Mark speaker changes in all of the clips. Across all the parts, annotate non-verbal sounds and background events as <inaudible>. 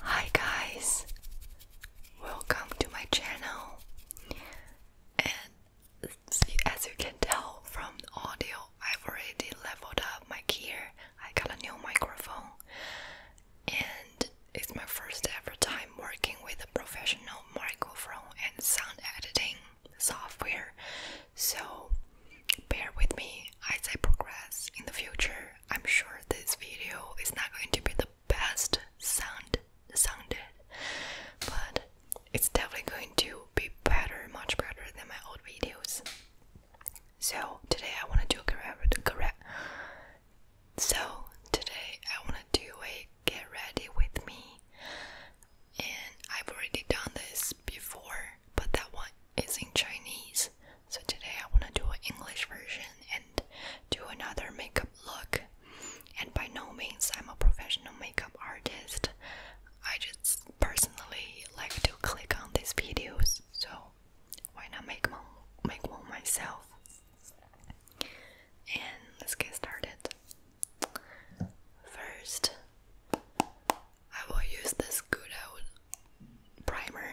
Speaker 1: Hi guys, welcome to my channel. And as you can tell from the audio, I've already leveled up my gear. I got a new microphone, and it's my first ever time working with a professional microphone and sound editing software. So bear with me as I progress in the future. I'm sure this video is not going to be the best sound sounded, but it's definitely going to be better, much better than my old videos. So today I want to do a correct. So today I want to do a get ready with me and I've already done this before, but that one is in Chinese. So today I want to do an English version and do another makeup look. And by no means I'm a professional makeup artist. I just personally like to click on these videos, so why not make one, make one myself? And let's get started. First, I will use this good old primer.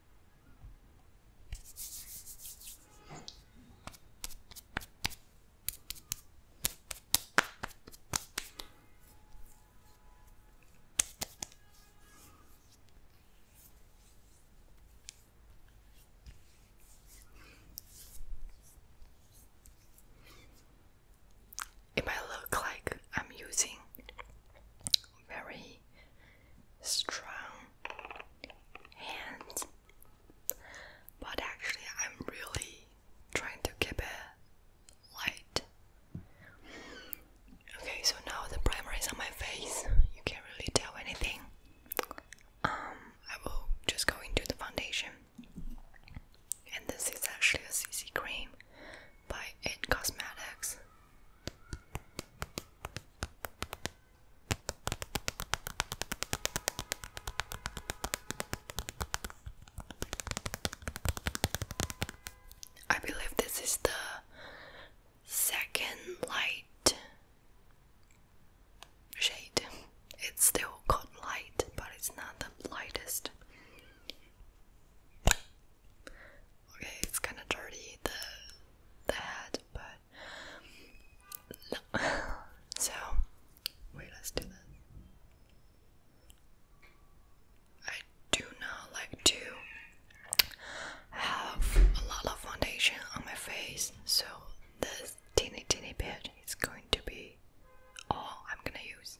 Speaker 1: It might look like I'm using very strong hands. But actually, I'm really trying to keep it light. Okay, so now the primer is on my face. You can't really tell anything. Um, I will just go into the foundation. And this is actually a CC cream by In Cosmetics. I believe this is the second light shade. It's still called light, but it's not the lightest. Okay, it's kind of dirty the the head, but no. <sighs> so, wait, let's do this. I do not like to have a lot of foundation on my face, so this teeny teeny bit is going to be all I'm gonna use.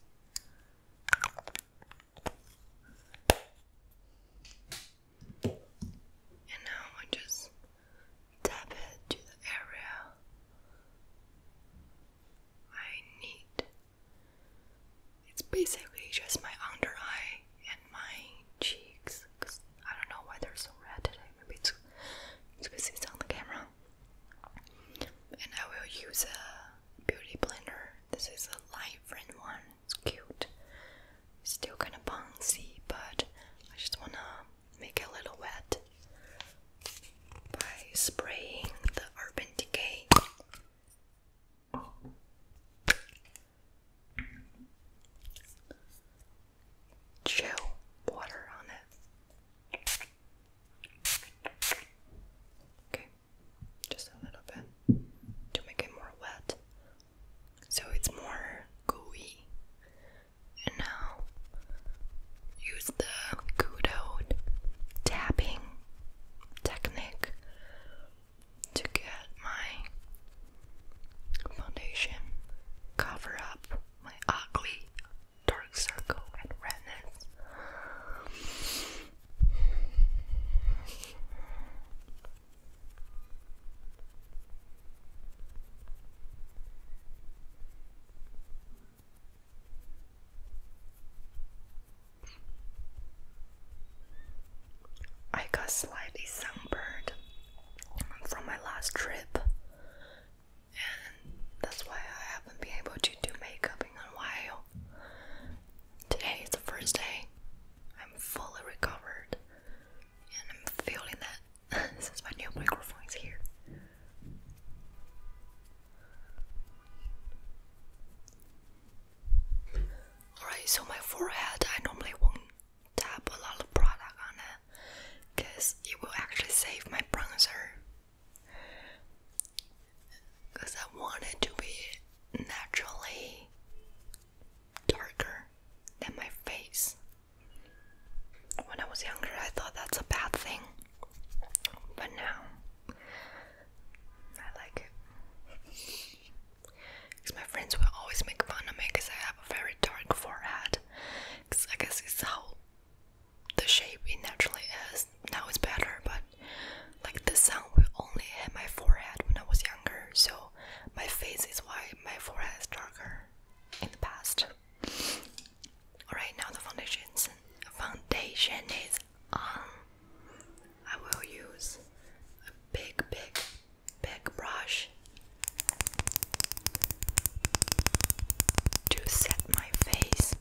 Speaker 1: And now I just tap it to the area I need. It's basically just my under eye and my cheeks because I don't know why they're so red today. Maybe it's because it's on the camera. And I will use a beauty blender. This is a light friend one. It's cute still kind of bouncy, but I just wanna make it a little wet by spraying the Urban Decay. Chill water on it. Okay, just a little bit to make it more wet so it's more gooey. And now use the good old tapping technique to get my foundation cover up my ugly dark circle and redness. I got slightly sunburned from my last trip, and that's why I haven't been able to do makeup in a while. Today is the first day I'm fully recovered, and I'm feeling that since my new microphone. microphone's here. Alright, so my forehead, I normally won't tap a lot of product on it because it will actually save my bronzer. Because I want it to be naturally darker than my face. When I was younger, I thought that's a bad thing, but now I like it. Because my friends will always make fun of me because I have a very dark forehead. Because I guess it's how the shape it naturally is. Now it's better, but like the sun will only hit my forehead when I was younger, so my face is why my forehead is darker in the past. Alright, now the foundations foundation is on. Um, I will use a big, big, big brush to set my face.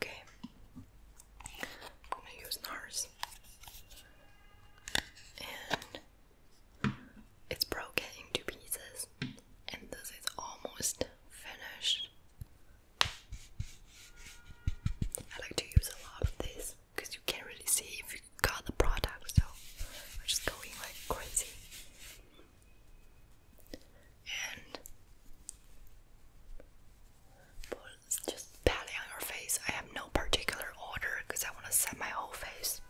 Speaker 1: Okay, I'm gonna use NARS, and it's broken into pieces, and this is almost finished. I like to use a lot of this because you can't really see if you got the product, so we're just going like crazy. And just patting on your face. I have no particular order because I want to set my whole face.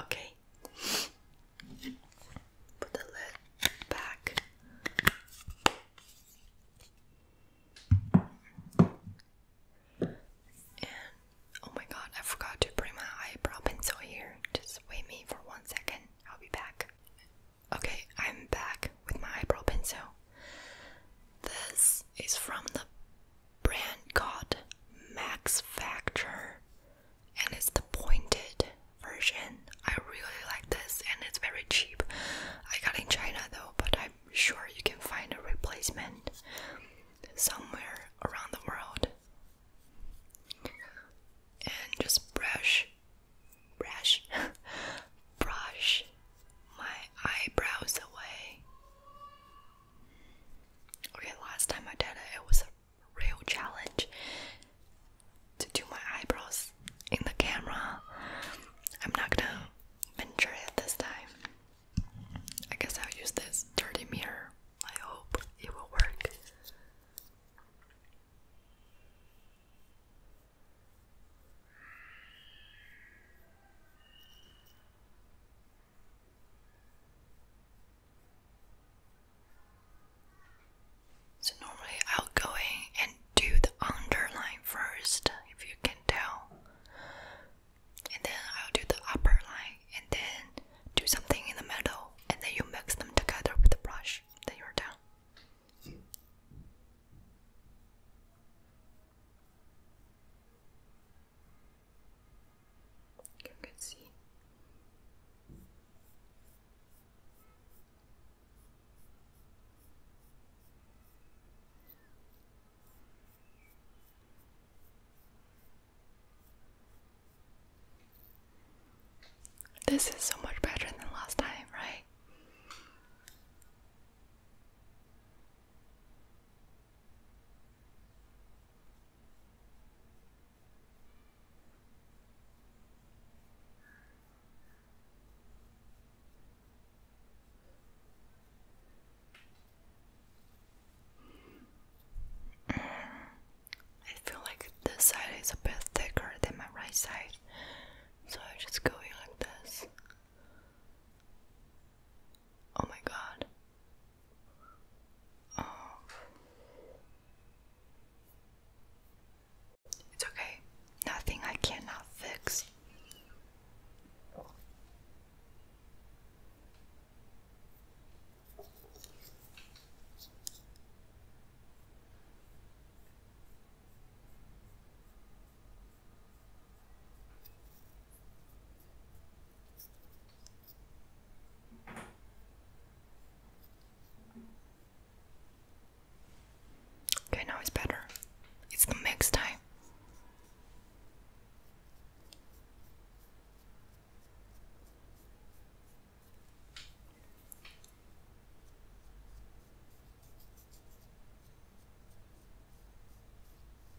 Speaker 1: Okay. Put the lid back. And oh my god, I forgot to bring my eyebrow pencil here. Just wait me for one second. I'll be back. Okay, I'm back with my eyebrow pencil. This is from the brand called Max Factor and it's the pointed version. I really like this and it's very cheap. I got in China though, but I'm sure you can find a replacement somewhere around the world. And just brush brush <laughs> brush my eyebrows away. Okay, last time I did it, was a real challenge to do my eyebrows in the camera. I'm not gonna venture it this time. I guess I'll use this dirty mirror. I hope it will work. So normally I'll go in and do the underline first, if you can tell. And then I'll do the upper line and then do something in the middle and then you mix them together with the brush. Then you're done you can see. This is so much better than last time, right? I feel like this side is a bit thicker than my right side, so I just go in like this. Oh my god. Um, it's okay. Nothing I cannot fix. Okay, now it's better. It's the next time.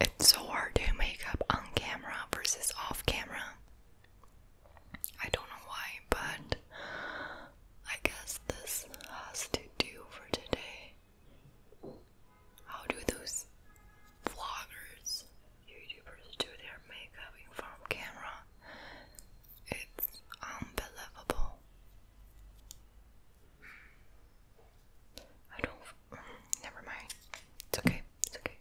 Speaker 1: It's so hard to make up on camera versus off camera. I don't know why, but I guess this has to do for today. How do those vloggers, YouTubers do their makeup in front camera? It's unbelievable. I don't. Never mind. It's okay. It's okay.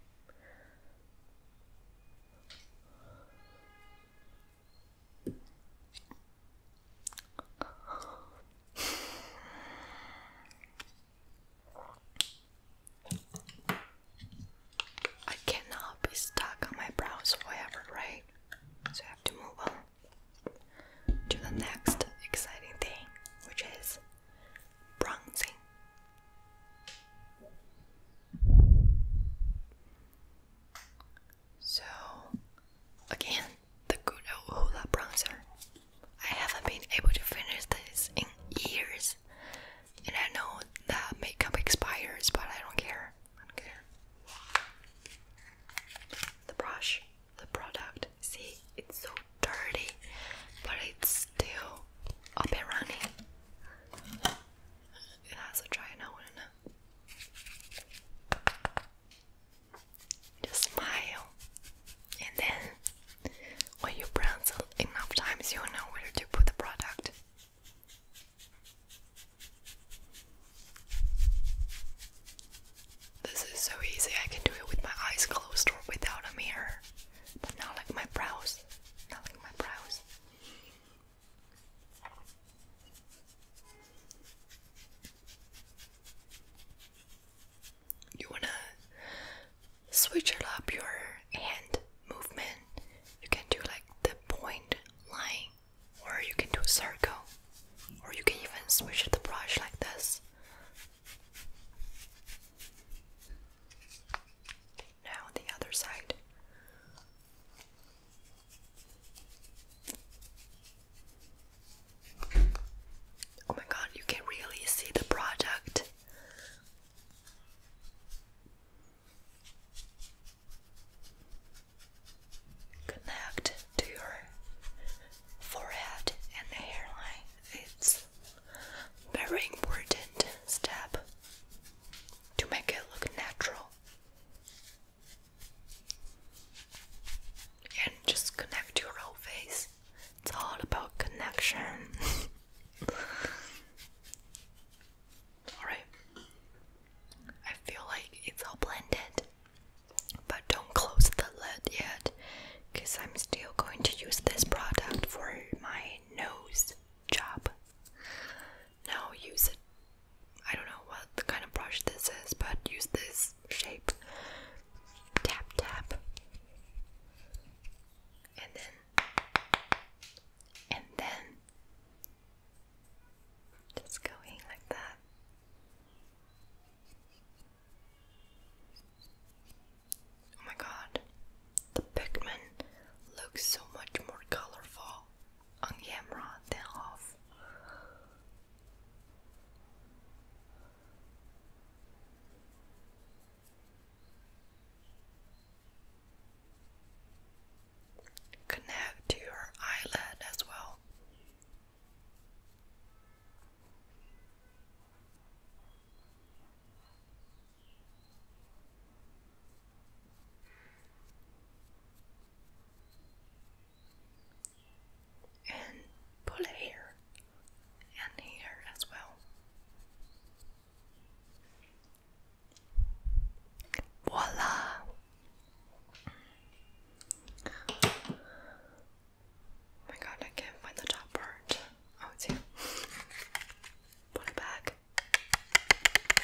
Speaker 1: I cannot be stuck on my brows forever, right? So I have to move on to the next exciting thing, which is bronzing. So, again, the good old Hoola bronzer. I haven't been able to finish this in years, and I know that makeup expires, but I don't care. don't care. The brush, the product. See, it's so dirty, but it's still up and running. It has a dry now, just smile, and then when you prance enough times, you know where to put the product. This is so easy, I can do it with my eyes closed or without a mirror, but not like my brows. Not like my brows. You wanna switch up your hand movement. You can do like the point line, or you can do a circle, or you can even switch the brush like this. Now the other side. Oh my god, you can really see the product. Connect to your forehead and hairline. It's very important step to make it look natural and just connect your whole face. It's all about connection. <laughs> Alright. I feel like it's all blended. But don't close the lid yet because I'm still going to use this product for my nose job. Now use a I don't know what kind of brush this is, but use this shape. Tap, tap. And then, and then, just going like that. Oh my god, the pigment looks so much more colorful Ongemra thereof. Connect to your eyelid as well and pull here and here as well. Voila! Oh my god, I can't find the top part. Oh, Put it back.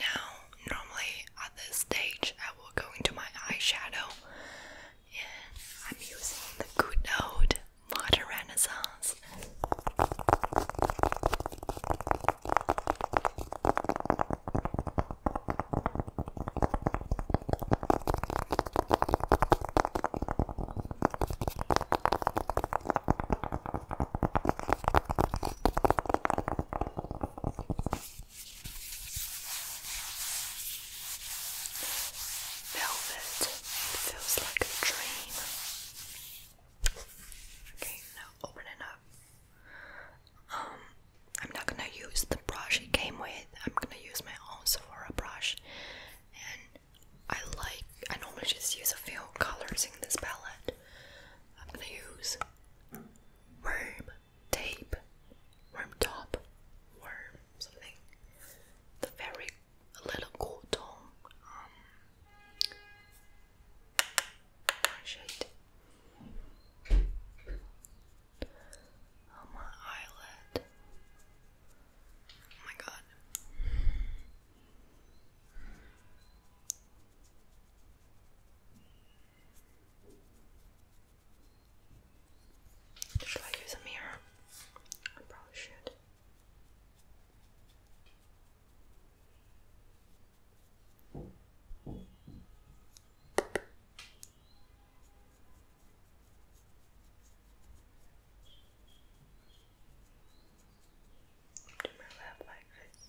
Speaker 1: now, normally at this stage, I will go into my eyeshadow, and I'm using the good old Modern Renaissance. Velvet, it feels like a dream. Okay, now open up. Um, I'm not gonna use the brush it came with. I'm gonna use my own Sephora brush, and I like. I normally just use a few colors in this palette. I'm gonna use worm tape, worm top, worm something. The very little cotton um shade on oh, my eyelid. Oh my god. Should I use a mirror? I probably should. Do my lap like this.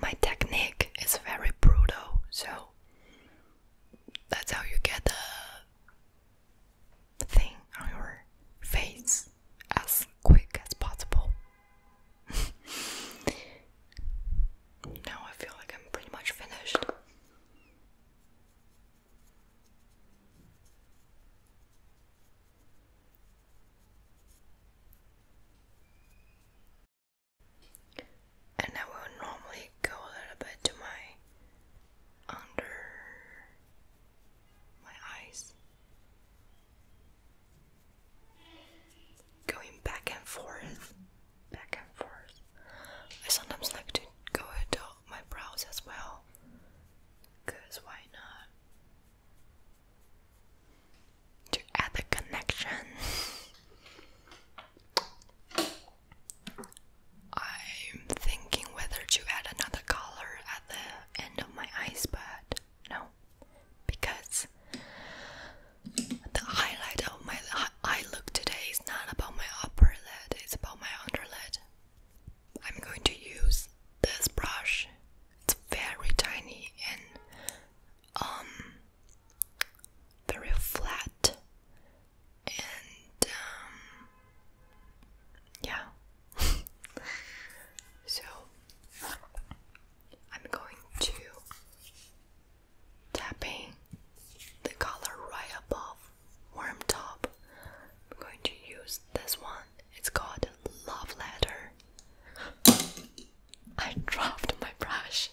Speaker 1: My technique is very brutal, so that's how you get the thing on your face as quick as possible. <laughs> now I feel like I'm pretty much finished. And I will normally go a little bit to my under my eyes, going back and forth, back and forth. I sometimes like to go into my brows as well, because why not? to add the connection. I'm thinking whether to add another color at the end of my eyes, but no, because the highlight of my eye look today is not about my upper lid, it's about my under lid. I'm going to use this brush. It's very tiny and um very flat and um yeah. <laughs> so I'm going to tapping the color right above warm top. I'm going to use this one. It's called Love Letter. I dropped my brush.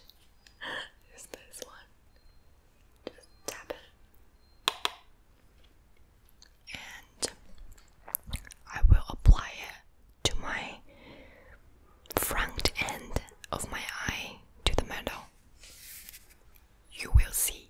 Speaker 1: <laughs> Is this one? tap it. And I will apply it to my front end of my eye to the metal. You will see.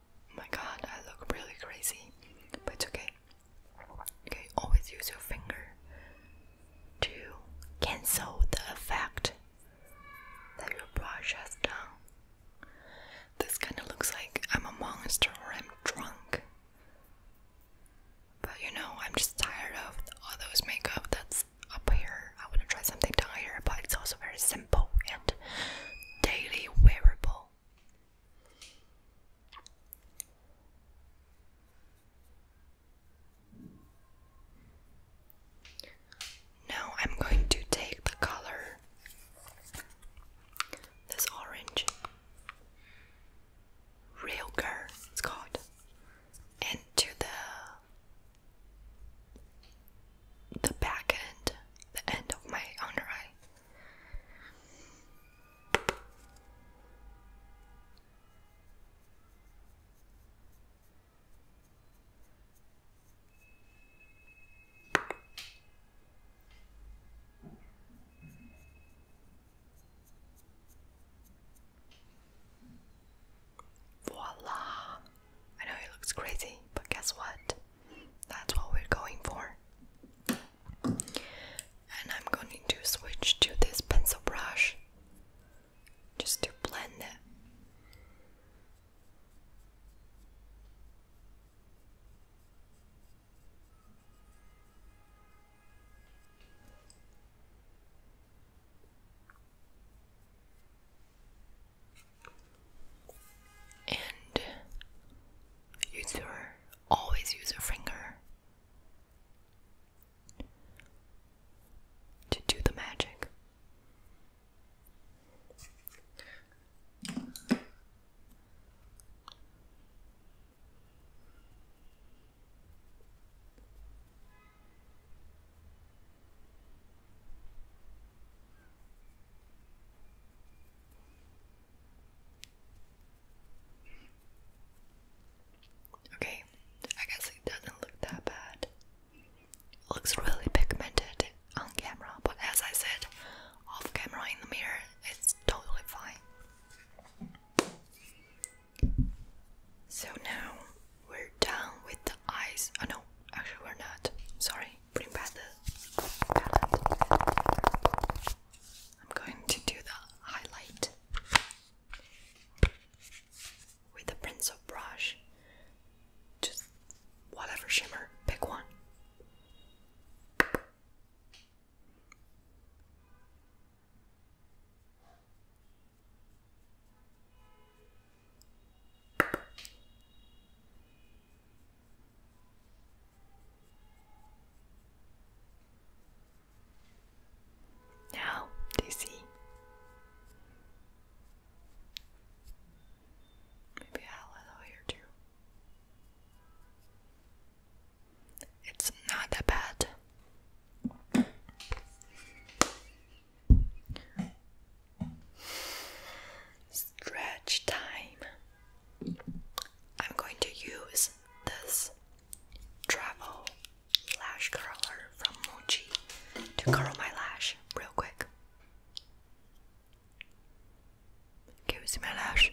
Speaker 1: my god, I look really crazy, but it's okay. Okay, always use your finger to cancel the effect that your brush has done. This kind of looks like I'm a monster or I'm drunk. But you know, I'm just tired of all those makeup that's up here. I want to try something down but it's also very simple and daily wearable. Now I'm going to take the color this orange Rilker, it's called, and the the back end, the end of my under eye. Voila, I know it looks crazy, but guess what? That's what we're going for. And I'm going to switch to this pencil brush just to blend it and use your always use a finger to do the magic. Okay, I guess it doesn't look that bad. looks really pigmented on camera, but as I said, off camera in the mirror, it's totally fine. So now we're done with the eyes. Oh no, actually, we're not. Sorry bring back the palette. I'm going to do the highlight with the pencil brush. Just whatever shimmer, pick one. Now, do you see? Maybe I'll allow here too. It's not that bad stretch time. I'm going to use this travel lash curler from Muji to curl my lash real quick. Give you see my lash?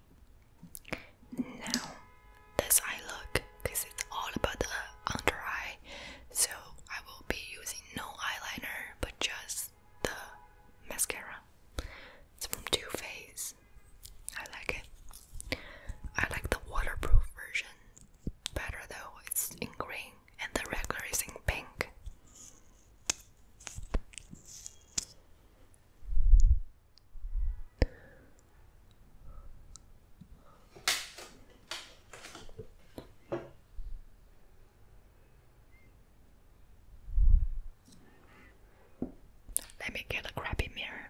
Speaker 1: now, this eye look, because it's all about the under eye, so I will be using no eyeliner but just the mascara. It's from Too Faced. I like it. I like the waterproof version better though. It's in green and the regular is in pink. Let me get a crappy mirror.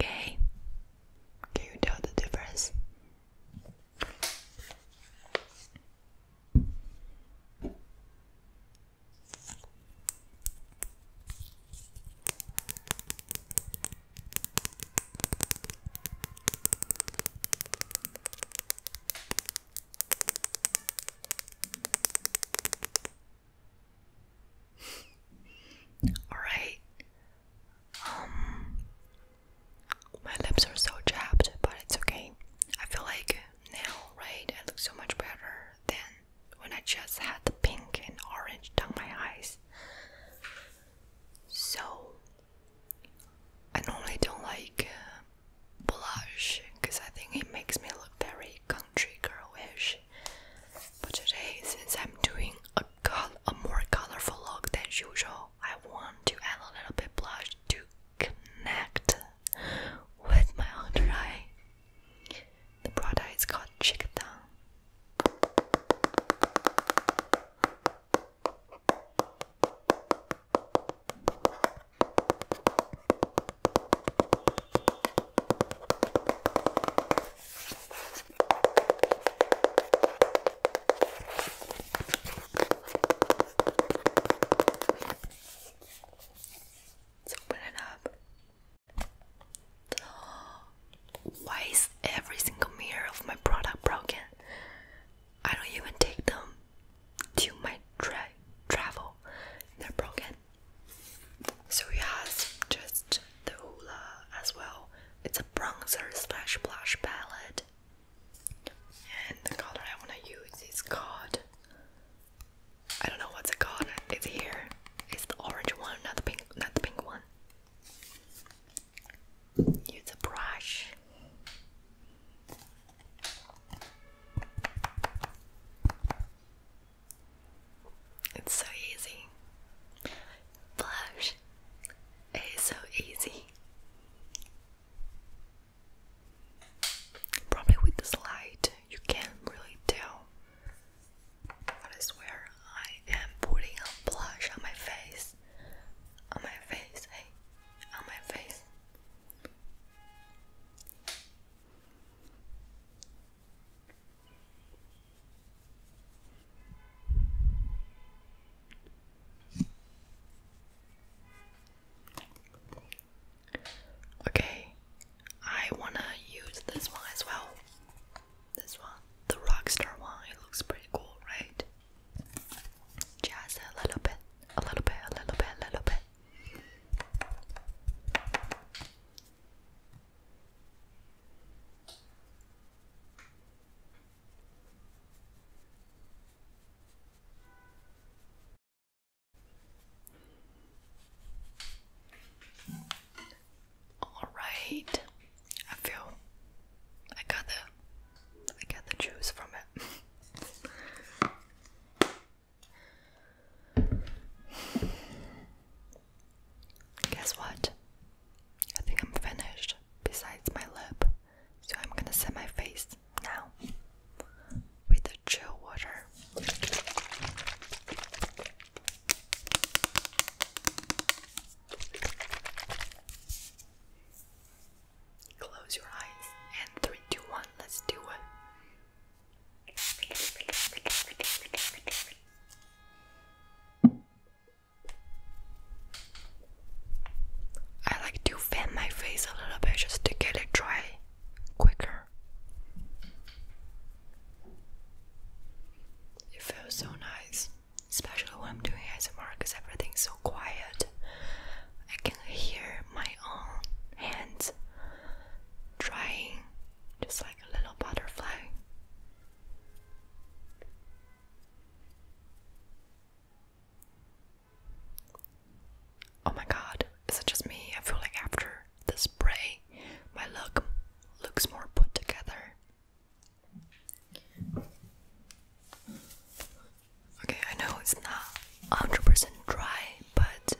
Speaker 1: Okay, can you tell the difference? All right. Um, my lips are so chapped, but it's okay. I feel like now, right? I look so much better than when I just had the pink and orange down my eyes. So I normally don't like uh, blush because I think it makes me look very country girlish. But today, since I'm doing a, more colorful look than usual, I want to add a little bit blush to connect with my under eye. The product is called Chick Down. Let's open it up. <gasps> Why is every single mirror of my product broken? I don't even take them to my tra travel. They're broken. So he has just the hula as well. It's a bronzer slash blush palette. And the color I want to use is called. I don't know what's it called. It's here. It's the orange one, not the pink, not the pink one. Use a brush. It's so easy. Blush is so easy. Probably with this light, you can't really tell. But I swear, I am putting a blush on my face. On my face, hey, on my face. Okay, I wanna use this one as well. This one, the Rockstar one, it looks pretty cool, right? Jazz a little bit, a little bit, a little bit, a little bit. All right, I feel I got the I get the juice from it. Guess what? I think I'm finished, besides my lip. So I'm gonna set my face now with the chill water. Close your eyes. And three, two, one. Let's do it. I like to fan my face a little bit just to get it dry quicker. It feels so nice, especially when I'm doing ASMR because everything's so quiet I can hear my own hands drying just like a little butterfly. Oh my god, is it just me? I feel like after the spray, my look looks more put together. Okay, I know it's not 100% dry, but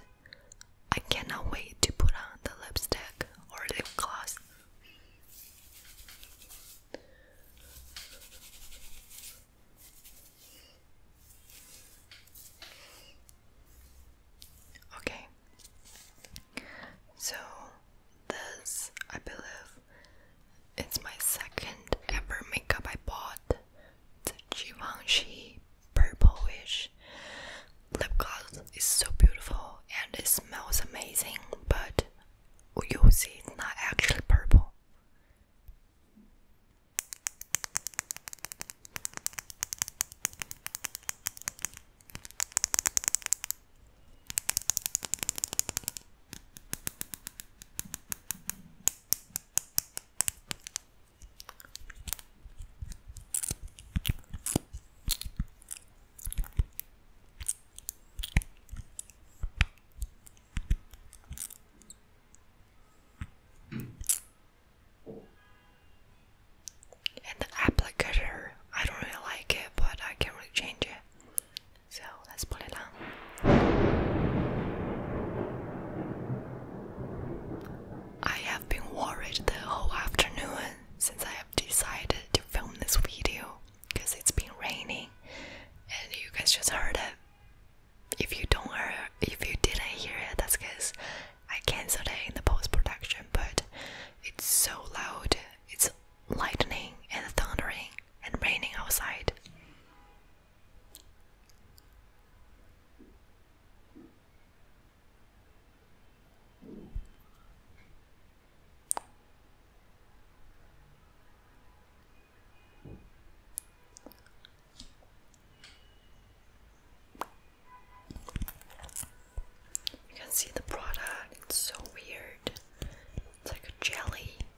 Speaker 1: I cannot wait to put on the lipstick or lip gloss. Okay, so this I believe it's my second ever makeup I bought the Givenchy purplish lip gloss is so beautiful and it smells amazing, but you'll see it's not actually purple the applicator, I don't really like it, but I can't really change it. So let's put it on. I have been worried the whole afternoon since I have decided to film this video because it's been raining and you guys just heard it. If you don't hear if you didn't hear it, that's because I cancelled it in the post production, but it's so loud. It's lightning and thundering and raining outside. You can see the product, it's so weird. It's like a jelly.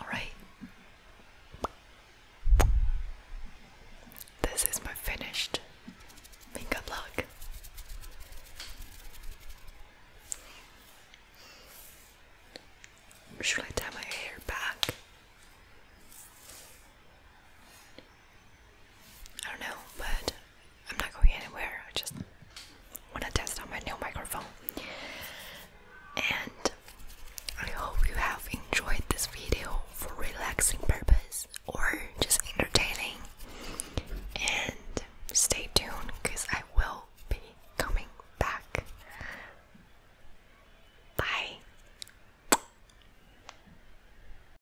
Speaker 1: All right. This is my finished makeup look. Should I tie my hair back? I don't know, but I'm not going anywhere. I just want to test out my new microphone. And I hope you have enjoyed this video for relaxing purpose or just entertaining. And stay tuned because I will be coming back. Bye.